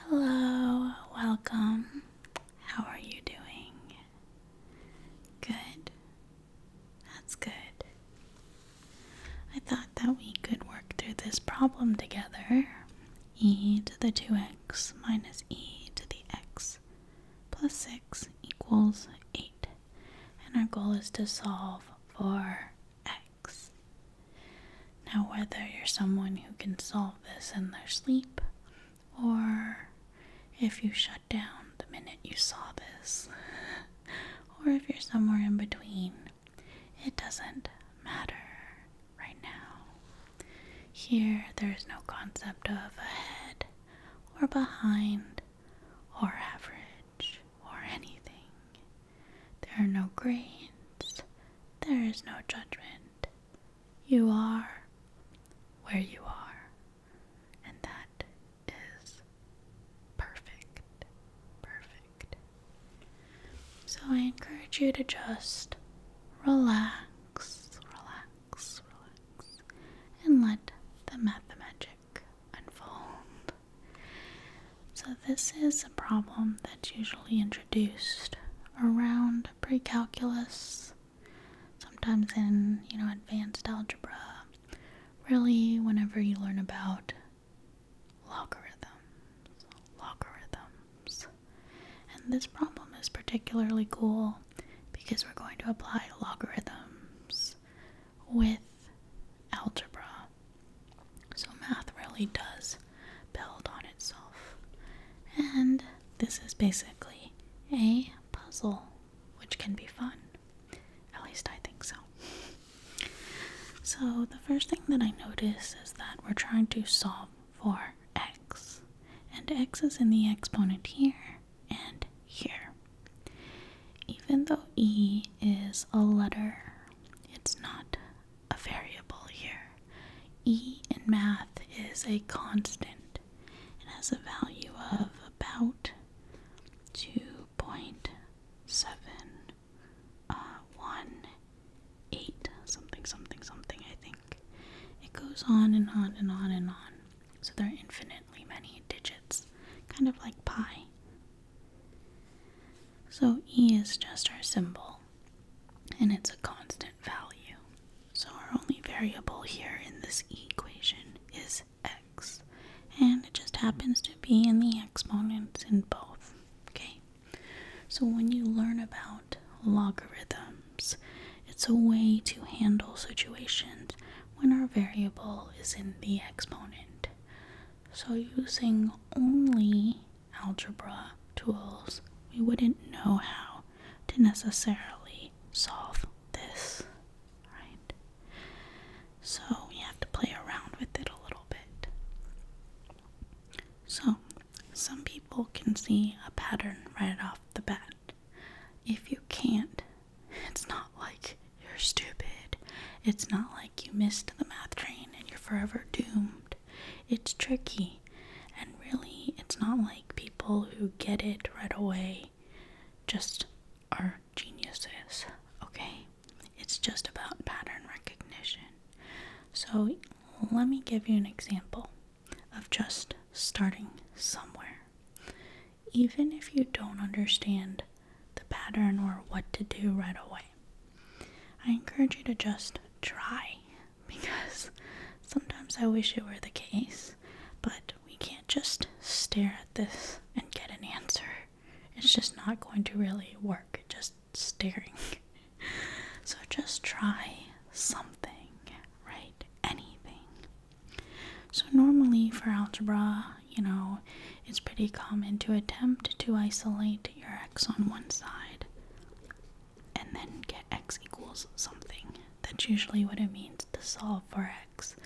Hello, welcome. How are you doing? Good. That's good. I thought that we could work through this problem together. e to the 2x minus e to the x plus 6 equals 8. And our goal is to solve for x. Now, whether you're someone who can solve this in their sleep, or if you shut down the minute you saw this, or if you're somewhere in between, it doesn't matter right now. Here, there is no concept of ahead or behind or average or anything. There are no grades, there is no judgment. You are where you are, and that is perfect. Perfect. So I encourage you to just relax, relax, relax, and let the math magic unfold. So, this is a problem that's usually interesting introduced around pre-calculus, sometimes in, you know, advanced algebra. Really, whenever you learn about logarithms, logarithms. And this problem is particularly cool because we're going to apply logarithms with algebra. So math really does build on itself. And this is basically a puzzle, which can be fun. At least I think so. So, the first thing that I notice is that we're trying to solve for x, and x is in the exponent here and here. Even though e is a letter, it's not a variable here. E in math is a constant. It has a value of about 2.7 uh, something something something I think it goes on and on and on and on so there are infinitely many digits kind of like pi so e is just our symbol and it's a constant value. So our only variable here in this equation is x and it just happens to be in the exponent in both. Okay? So when you learn about logarithms, it's a way to handle situations when our variable is in the exponent. So using only algebra tools, we wouldn't know how to necessarily solve this, right? So we have to play around with it a little bit. So, some people can see a pattern right off the bat. If you can't, it's not like you're stupid. It's not like you missed the math train and you're forever doomed. It's tricky. And really, it's not like people who get it right away just are geniuses, okay? It's just about pattern recognition. So, let me give you an example of just starting somewhere. Even if you don't understand the pattern or what to do right away, I encourage you to just try because sometimes I wish it were the case, but we can't just stare at this and get an answer. It's just not going to really work, just staring. so just try something, right? Anything. So, normally for algebra, you know, it's pretty common to attempt to isolate your x on one side and then get x equals something. That's usually what it means to solve for x.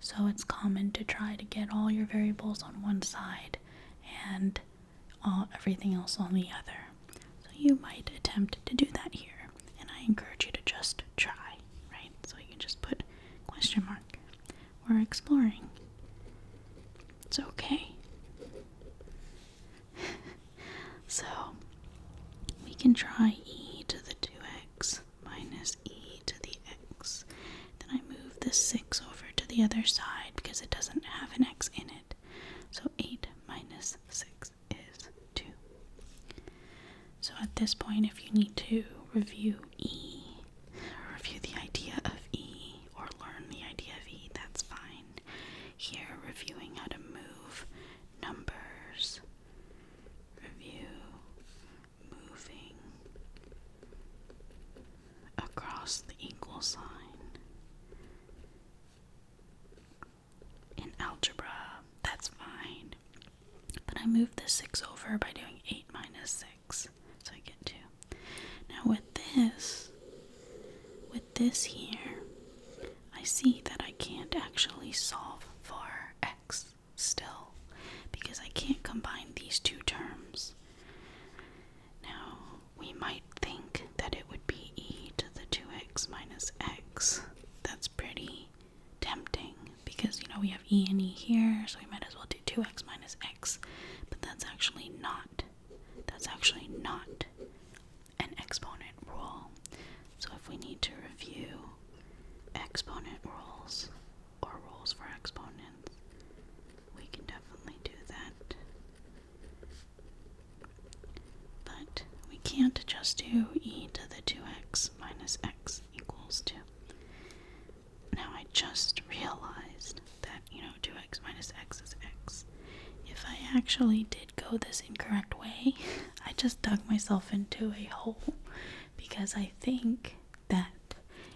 So it's common to try to get all your variables on one side and all, everything else on the other. So you might attempt to do that here, and I encourage you to just try, right? So you can just put question mark. We're exploring. It's okay. so we can try e to the 2x minus e to the x. Then I move this 6 over to the other side because it doesn't have an x in it. So 8 minus 6 is 2. So at this point, if you need to review e, review the idea of e, or learn the idea of e, that's fine. Here, reviewing how to move numbers. Review moving across the equal sign. In algebra, that's fine. But I move the 6 over by doing 8 minus 6. So I get two. Now with this, with this here, I see that I can't actually solve for x still because I can't combine these two terms. Now, we might think that it would be e to the 2x minus x. That's pretty tempting because, you know, we have e and e here, so we might as well do 2x minus x. But that's actually not that's actually not an exponent rule. So if we need to review exponent rules or rules for exponents, we can definitely do that. But we can't just do e to the 2x minus x equals 2. Now I just realized that, you know, 2x minus x is x. If I actually did go this incorrect way, I just dug myself into a hole because I think that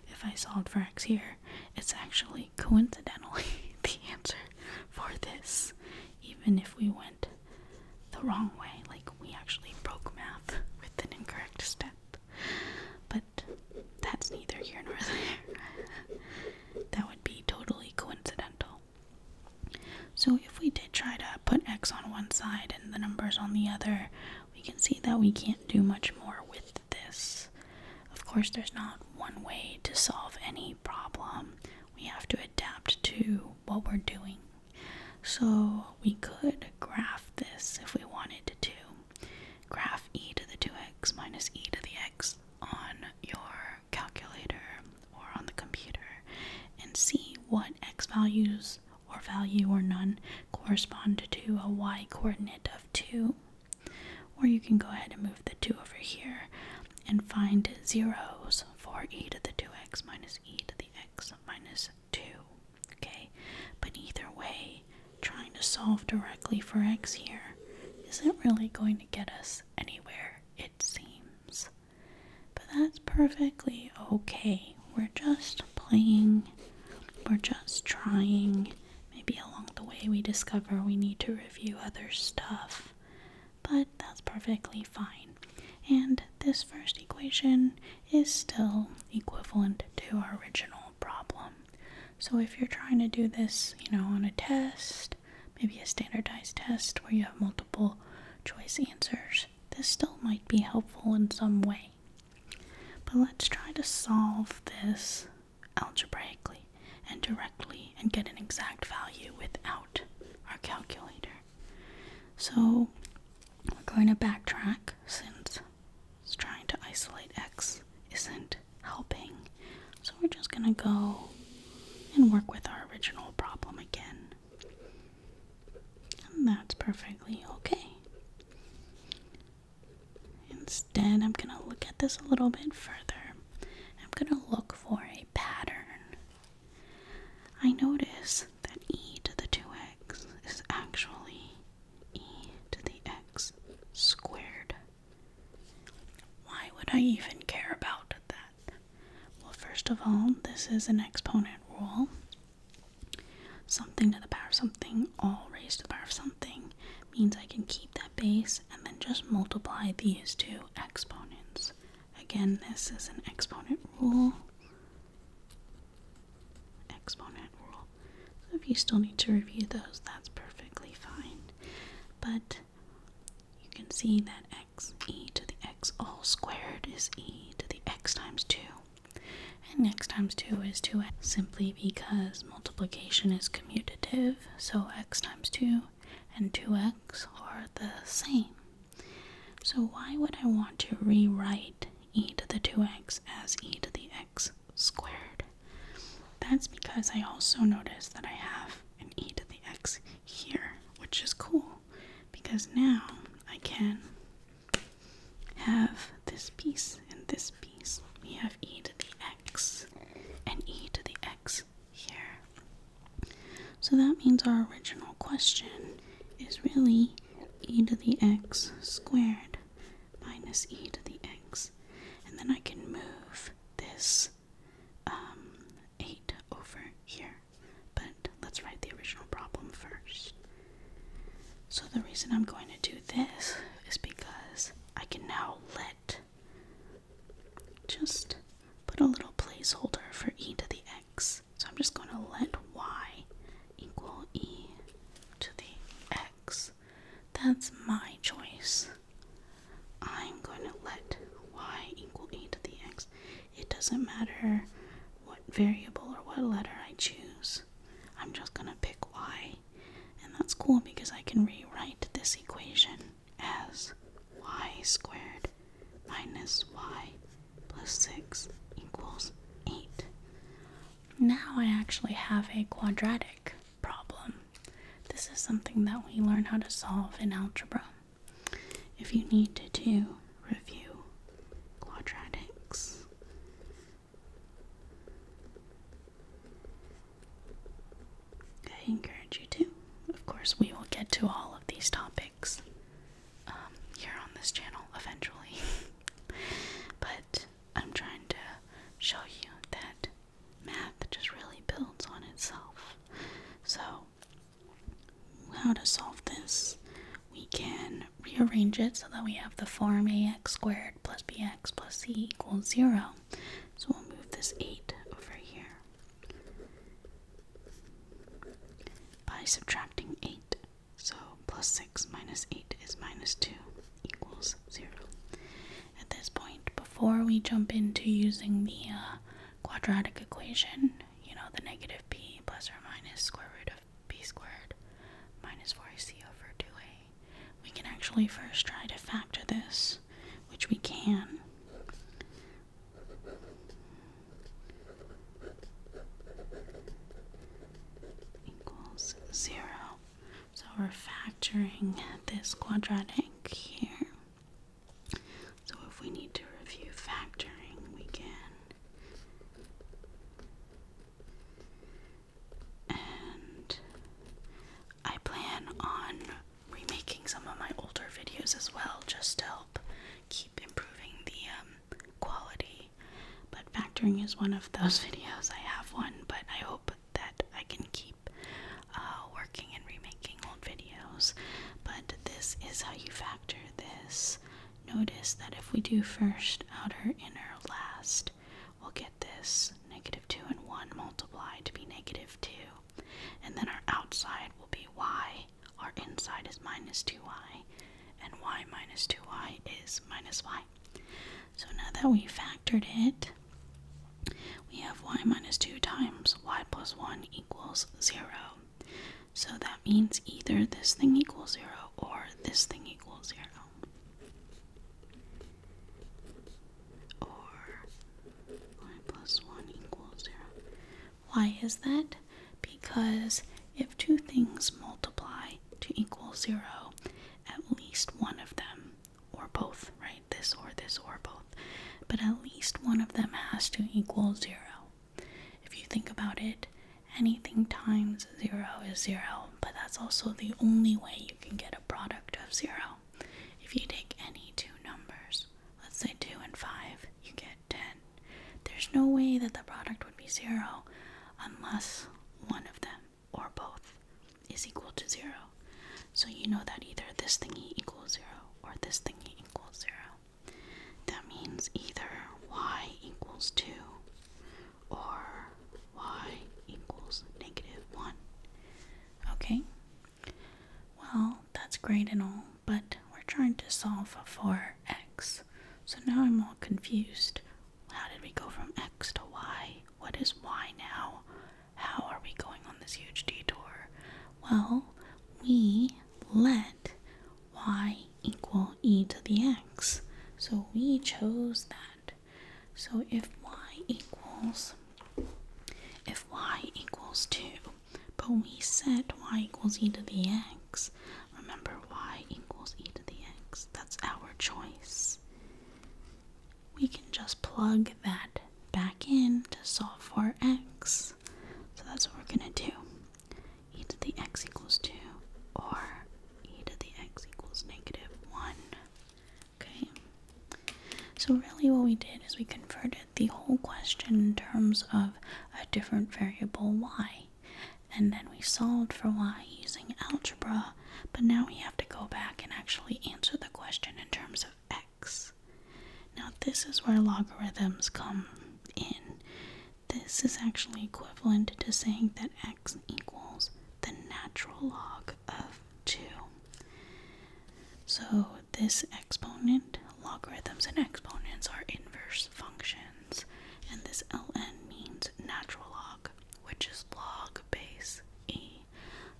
if I solved for x here, it's actually coincidentally the answer for this, even if we went the wrong way. Like, we actually broke math with an incorrect step that's neither here nor there. that would be totally coincidental. So if we did try to put x on one side and the numbers on the other, we can see that we can't do much more with this. Of course, there's not one way to solve any problem. We have to adapt to what we're doing. So we could graph this if we wanted to graph e to the 2x minus e to the x on your calculator or on the computer and see what x values or value or none correspond to a y coordinate of 2. Or you can go ahead and move the 2 over here and find zeros for e to the 2x minus e to the x minus 2. Okay, but either way, trying to solve directly for x here isn't really going to get us anywhere, it seems. But that's perfectly okay. We're just playing, we're just trying. Maybe along the way we discover we need to review other stuff, but that's perfectly fine. And this first equation is still equivalent to our original problem. So if you're trying to do this, you know, on a test, maybe a standardized test where you have multiple choice answers, this still might be helpful in some way. But let's try to solve this algebraically and directly and get an exact value without our calculator. So we're going to backtrack since is trying to isolate x isn't helping. So we're just going to go and work with our original problem again. And that's perfectly okay. Instead, I'm going to look at this a little bit further. I'm going to look for a pattern. I notice that e to the 2x is actually e to the x squared. Why would I even care about that? Well, first of all, this is an exponent rule. Something to the power of something, all raised to the power of something, means I can keep that base and then just multiply these two exponents. Again, this is an exponent rule. Exponent rule. So if you still need to review those, that's perfectly fine. But you can see that x e to the x all squared is e to the x times 2. And x times 2 is 2x simply because multiplication is commutative, so x times 2 and 2x are the same. So why would I want to rewrite e to the 2x as e to the x? x squared. That's because I also noticed that I have an e to the x here, which is cool because now I can have this piece and this piece. We have e to the x and e to the x here. So that means our original question is really e to the x squared minus e to the x and then I can move this um, 8 over here. But let's write the original problem first. So the reason I'm going to do this is because I can now let just put a little placeholder for e to the x. So I'm just going to let y equal e to the x. That's my choice. I'm going to let y equal eight to the x. It doesn't matter what variable or what letter I choose. I'm just going to pick y. And that's cool because I can rewrite this equation as y squared minus y plus 6 equals 8. Now I actually have a quadratic problem. This is something that we learn how to solve in algebra. If you need to do, review quadratics. I encourage you to. Of course, we will get to all of these topics um, here on this channel eventually. but I'm trying to show you that math just really builds on itself. So, how to solve this? We can rearrange it so that we have the form ax squared plus bx plus c equals 0. So we'll move this 8 over here. By subtracting 8, so plus 6 minus 8 is minus 2 equals zero. At this point, before we jump into using the uh, quadratic equation, you know, the negative p plus or minus square root of b squared minus 4ac over 2a, we can actually first try to factor this, which we can. Equals zero. So we're factoring this quadratic here. So if we need to review factoring, we can. And I plan on remaking some of my older videos as well, just to help keep improving the um, quality but factoring is one of those videos. I have one, but I hope that I can keep uh, working and remaking old videos. But this is how you factor this. Notice that if we do first, outer, inner, last, we'll get this negative 2 and 1 multiplied to be negative 2. And then our outside will be y, our inside is minus 2y, and y minus 2y is minus y. So now that we factored it, we have y minus 2 times y plus 1 equals 0. So that means either this thing equals 0 or this thing equals 0. Or y plus 1 equals 0. Why is that? Because if two things multiply, to equal zero, at least one of them, or both, right? This or this or both. But at least one of them has to equal zero. If you think about it, anything times zero is zero, but that's also the only way you can get a product of zero. If you take any two numbers, let's say 2 and 5, you get 10. There's no way that the product would be zero unless one of them or both is equal to 0. So you know that either this thingy equals 0 or this thingy equals 0. That means either y equals 2 or y equals negative 1. Okay? Well, that's great and all, but we're trying to solve for x. So now I'm all confused. How did we go from X to Y? What is Y now? How are we going on this huge detour? Well, we let y equal e to the x. So we chose that. So if y equals if y equals 2, but we set y equals e to the x. Remember y equals e to the x. That's our choice we can just plug that back in to solve for x. So that's what we're going to do. e to the x equals 2 or e to the x equals negative 1. Okay. So really what we did is we converted the whole question in terms of a different variable y and then we solved for y using algebra, but now we have to go back and actually answer the question in terms of x. Now, this is where logarithms come in. This is actually equivalent to saying that x equals the natural log of 2. So, this exponent, logarithms and exponents are inverse functions, and this ln means natural log which is log base e.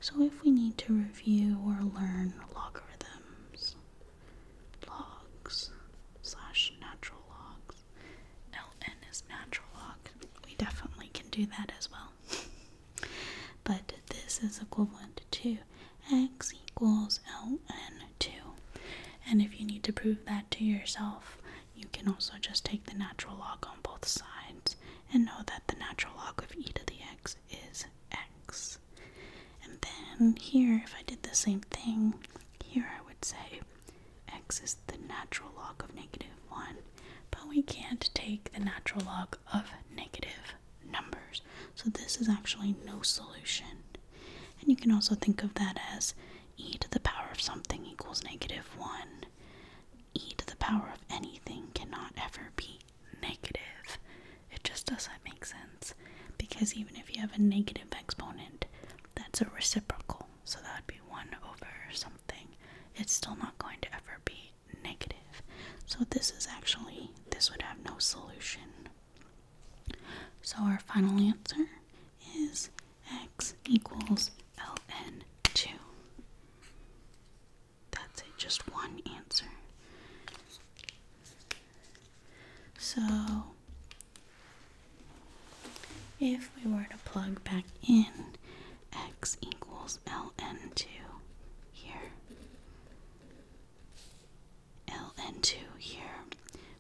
So if we need to review or learn logarithms, logs slash natural logs, ln is natural log, we definitely can do that as well. but this is equivalent to x equals ln 2. And if you need to prove that to yourself, you can also just take the natural log on both sides and know that the natural log of e to the x is x. And then here, if I did the same thing, here I would say x is the natural log of negative 1, but we can't take the natural log of negative numbers. So this is actually no solution. And you can also think of that as e to the power of something equals negative 1. e to the power of anything cannot ever be negative. It just doesn't make sense because even if you have a negative exponent, that's a reciprocal. So that would be 1 over something. It's still not going to ever be negative. So this is actually, this would have no solution. So our final answer is x equals ln 2. That's it, just one answer. So, if we were to plug back in x equals ln 2 here, ln 2 here,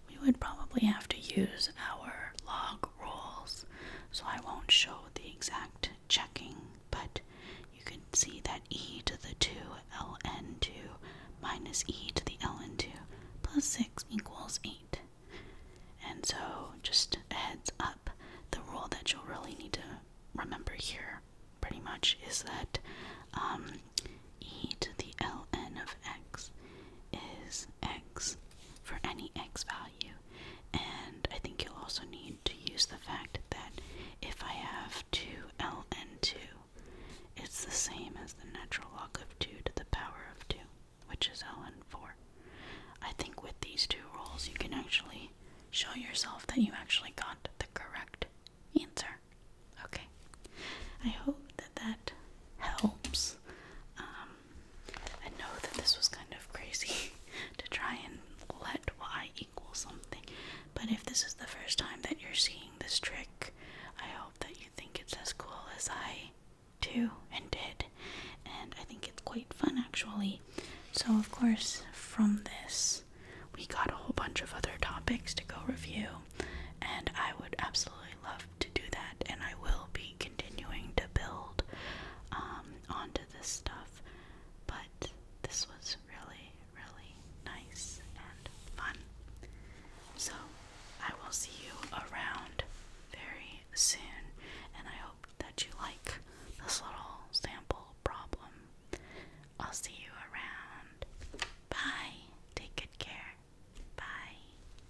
we would probably have to use our log rules, so I won't show the exact checking, but you can see that e to the 2 ln2 minus e to the ln2 plus 6 equals 8. And so, just heads up, the rule that you'll really need to remember here pretty much is that um, e to the ln of x is x for any x value. And I think you'll also need to use the fact that if I have 2 ln 2, it's the same as the natural log of 2 to the power of 2, which is ln 4. I think with these two rules, you can actually show yourself that you actually got the correct answer. Okay. I hope that that helps. Um, I know that this was kind of crazy to try and let y equal something, but if this is the first time that you're seeing this trick, I hope that you think it's as cool as I do and did, and I think it's quite fun actually. So, of course, from this, we got a whole bunch of other topics to go review, and I would absolutely love to do that, and I will be continuing to build um, onto this stuff. But this was really, really nice and fun. So I will see you around very soon, and I hope that you like this little sample problem. I'll see you around. Bye. Take good care. Bye.